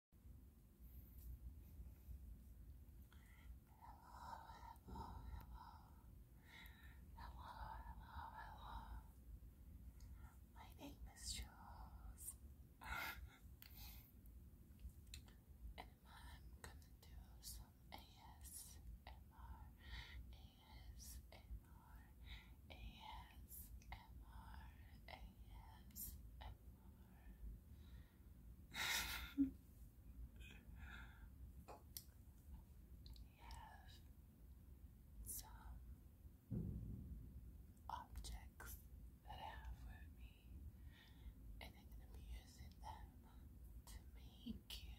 hello, hello, hello, hello. My name is Jules, and I'm gonna do some ASMR, ASMR, ASMR, ASMR yes. Some objects that I have with me, and I'm going to be using them to make you sleep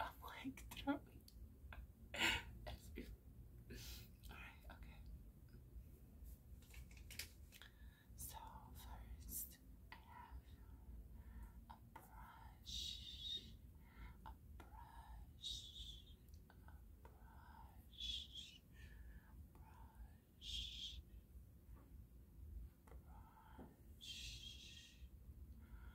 I'm like throwing. Alright, okay. So, first, I have a brush, a brush, a brush, brush. Brush,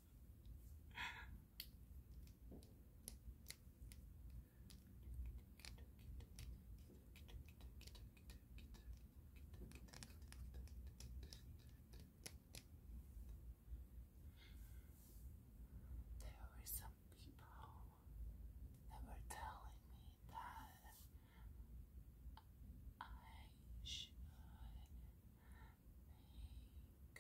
There were some people that were telling me that I should that made me I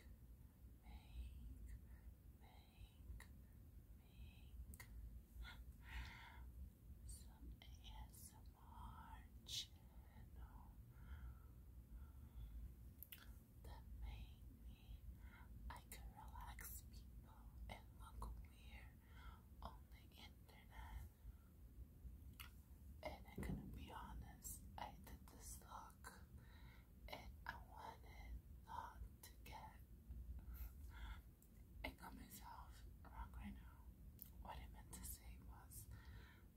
could relax people and look weird on the internet and I'm gonna be honest, I did this look and I wanted not to get and got myself wrong right now. What I meant to say was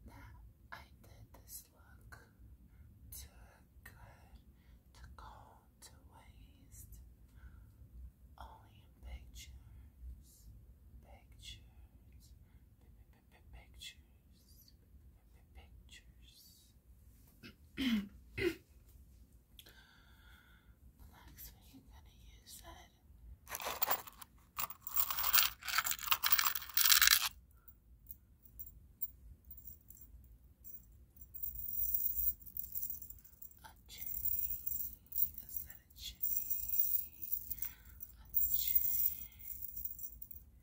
that I did this look to good, to go to waste, only in pictures, pictures, pictures. Relax, we ain't gonna use that. A chain, is that a chain? A chain.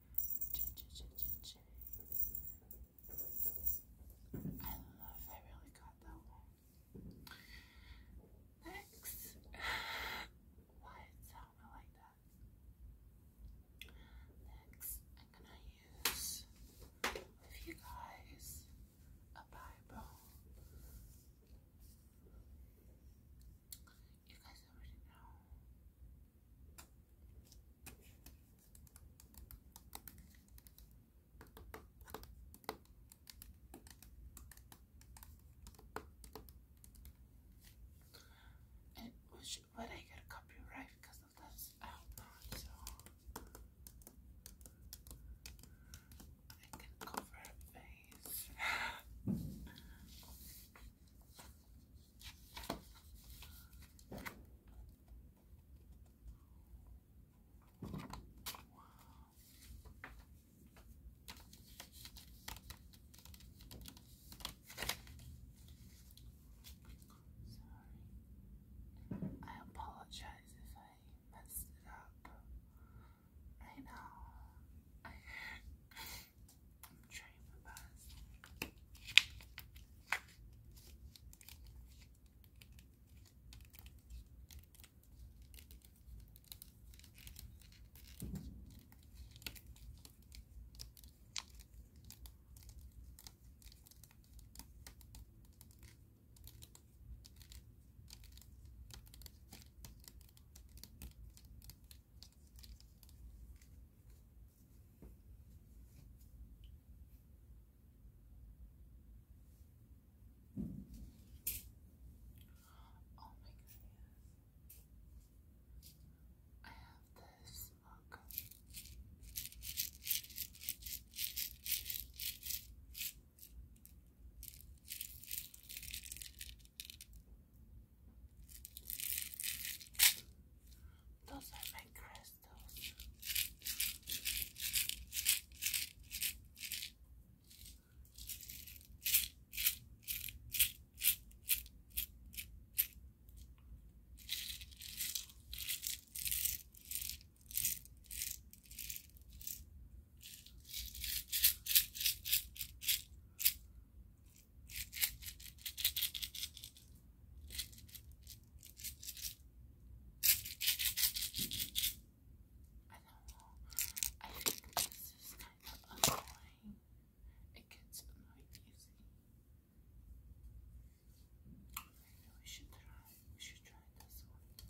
I love I really got that one. Next. Why it sounded like that? Next, I'm gonna use with you guys a Bible. You guys already know and which, I got a copyright because of this album, so I can cover her face. Sorry. I apologize if I messed it up. I know. I'm my best. Oh my goodness. I have this look. Those are my crystals. I think this is kind of annoying. It gets annoying easily. Maybe we should try. We should try this one.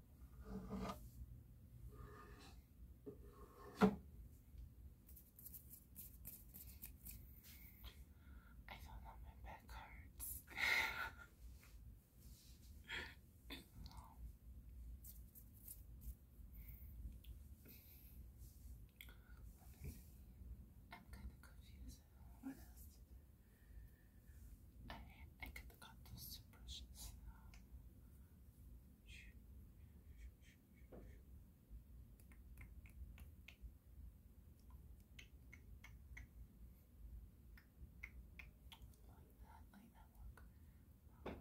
I don't know, my back hurts. I'm kind of confused. what else I, I could have those two Like that, like that,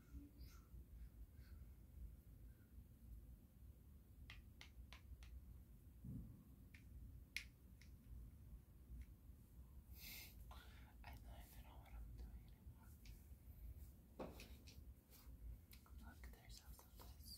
I don't even know what I'm doing anymore. Look, there's also this.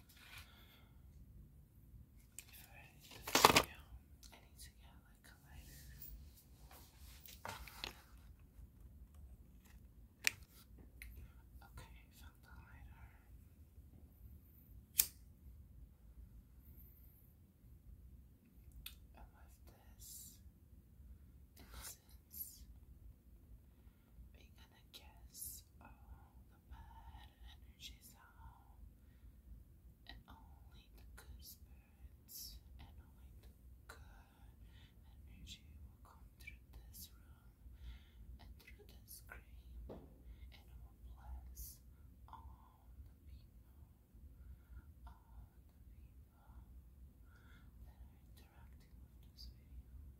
If I need to get, like a lighter. Okay, found the lighter. I left this incense. We're gonna guess all uh, the bad energies out, and only the good spirits and only the good energy will come through this room and through the screen, and will bless all the people, all the people that are interacting with this video.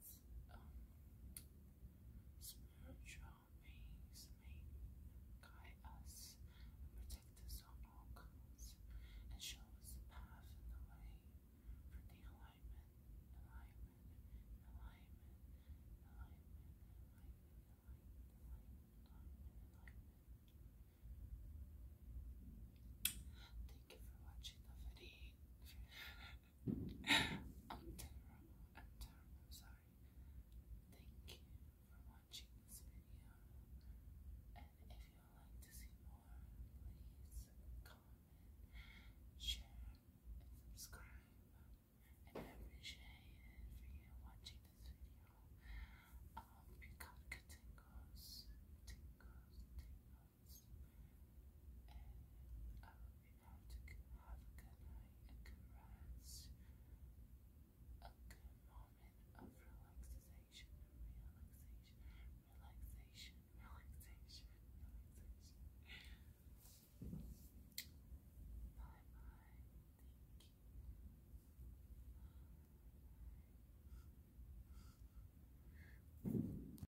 spiritual beings may guide us protect us on all counts and show us the path and the way for the alignment, alignment, alignment, alignment, alignment, alignment, alignment, alignment, alignment. Thank you for watching the video. I'm terrible. I'm terrible. Sorry. Thank you for watching this video. And if you like to see more, please comment, share, and subscribe. And I appreciate it watching this video. I hope you got good tingles, tingles, and I will be now to have a good night and good rest. A good moment of relaxation, relaxation, relaxation, relaxation, relaxation. Bye bye. Thank you.